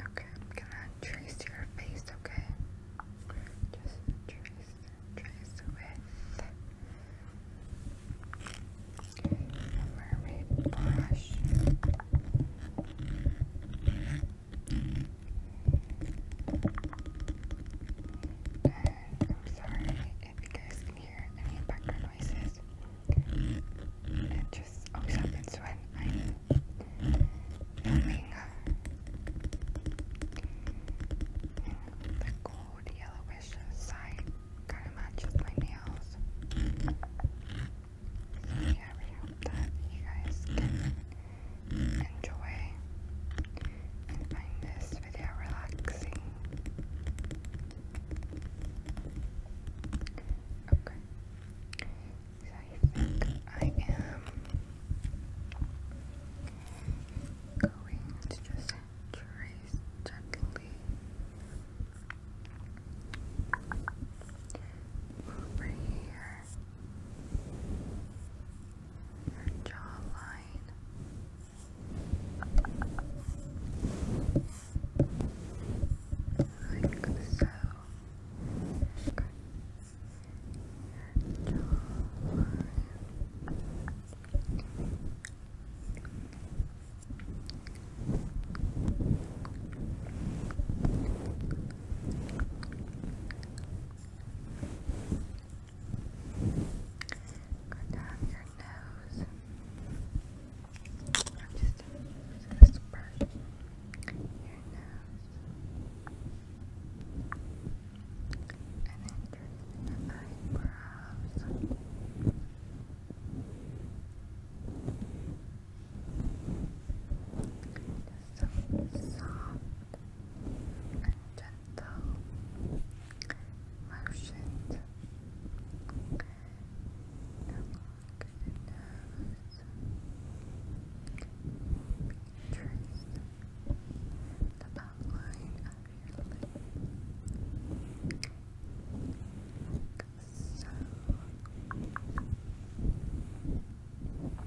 Okay, I'm gonna trace your face, okay? Just trace, trace with a mermaid brush. And I'm sorry if you guys can hear any background it just always oh, happens when I'm filming uh, the gold yellowish side kind of matches my nails. So yeah, we hope that you guys can enjoy and find this video relaxing. Okay. So I think I am going to just trace gently over here. Her jawline like so. Okay. Your your nose. I'm just going to use this and then turn the eyebrows. Just soft and gentle motions along the nose, trace the outline of your lip, like so. Your forehead,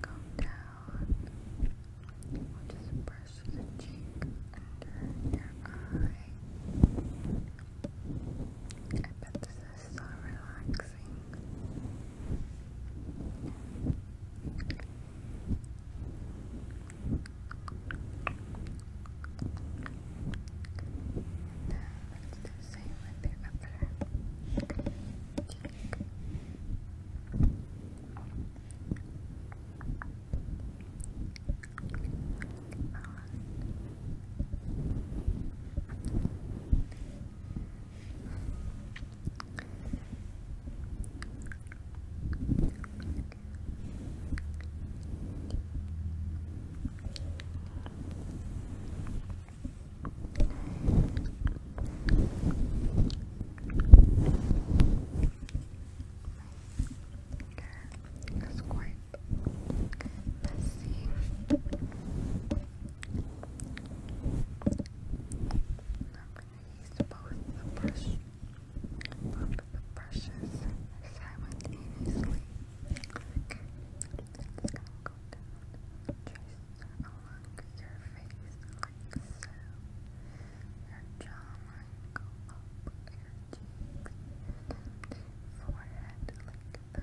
come down. just brush the cheek under your eye. I bet this is so relaxing. Now let the same with your it's quite messy. Not is both the brush, both the brushes simultaneously. Okay, it's gonna go along your face like so. Your jawline go up, your cheeks, and forehead like that.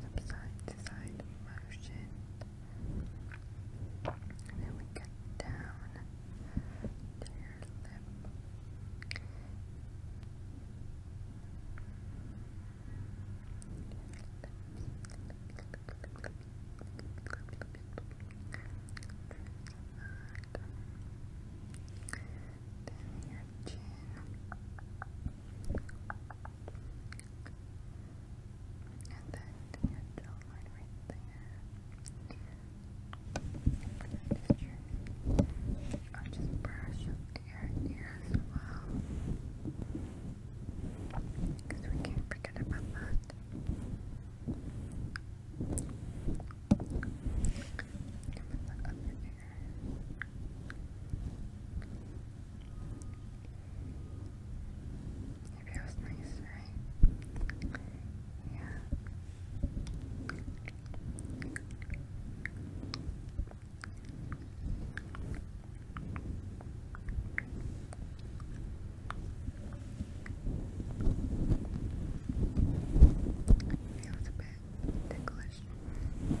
Subside to side motion. And then we get down to your lip your chin. And then your jawline right there. Just your, just brush your ear as well. Because we can't forget about that. Maybe it was nice, right? Yeah. Feels a bit ticklish. Good.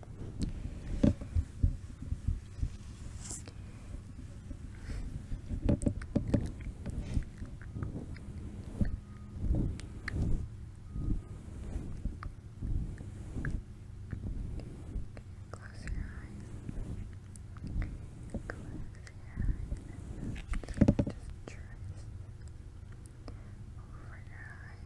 Close your eyes. Close your eyes. And just trace over your eyes.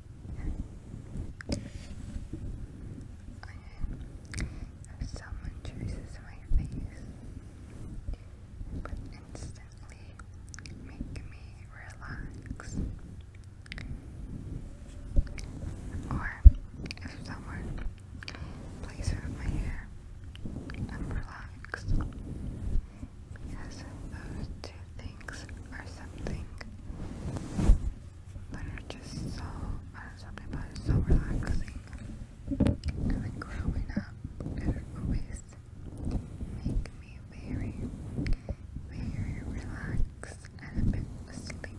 Okay. If someone chooses my face, it would instantly make me relax. Or if someone plays with my hair, I'm relaxed. Because those two things are something that are just so, and some people are so relaxing. And like growing up, it always make me very, very relaxed and a bit sleepy.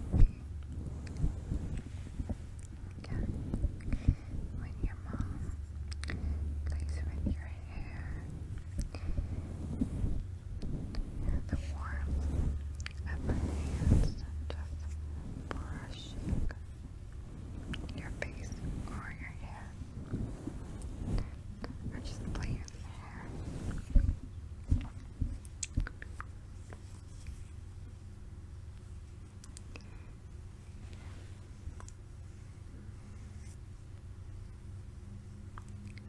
Yeah. When your mom plays with your hair, the warmth of her hands just brushing your face or your hair, or just playing with your hair really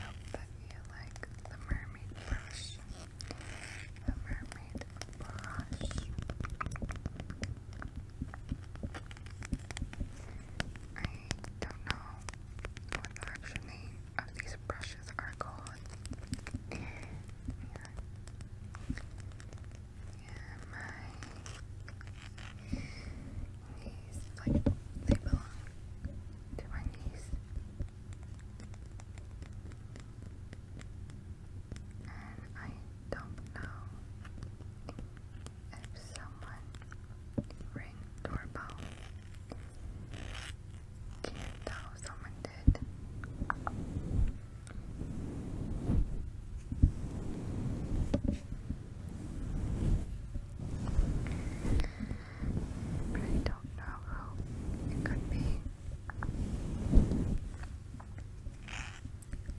hope that you like the mermaid brush. The mermaid brush. I don't know what the these brushes are called. my knees, like, they belong to my knees. And I don't know if someone Ring doorbell. Can't tell someone did. I don't know how it could be.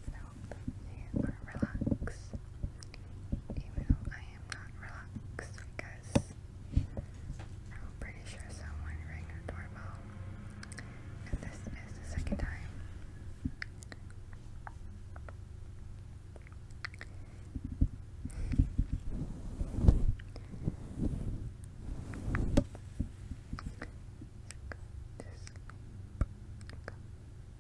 So, please relax. Even though I am not relaxed because I'm pretty sure someone rang the doorbell. And this is the second time. Go to sleep. Go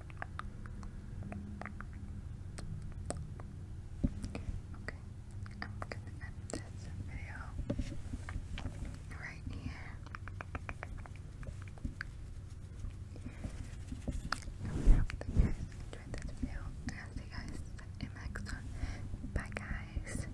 Okay, I'm gonna end this video right here. I hope that you guys enjoyed this video, and see you guys in next one. Bye, guys.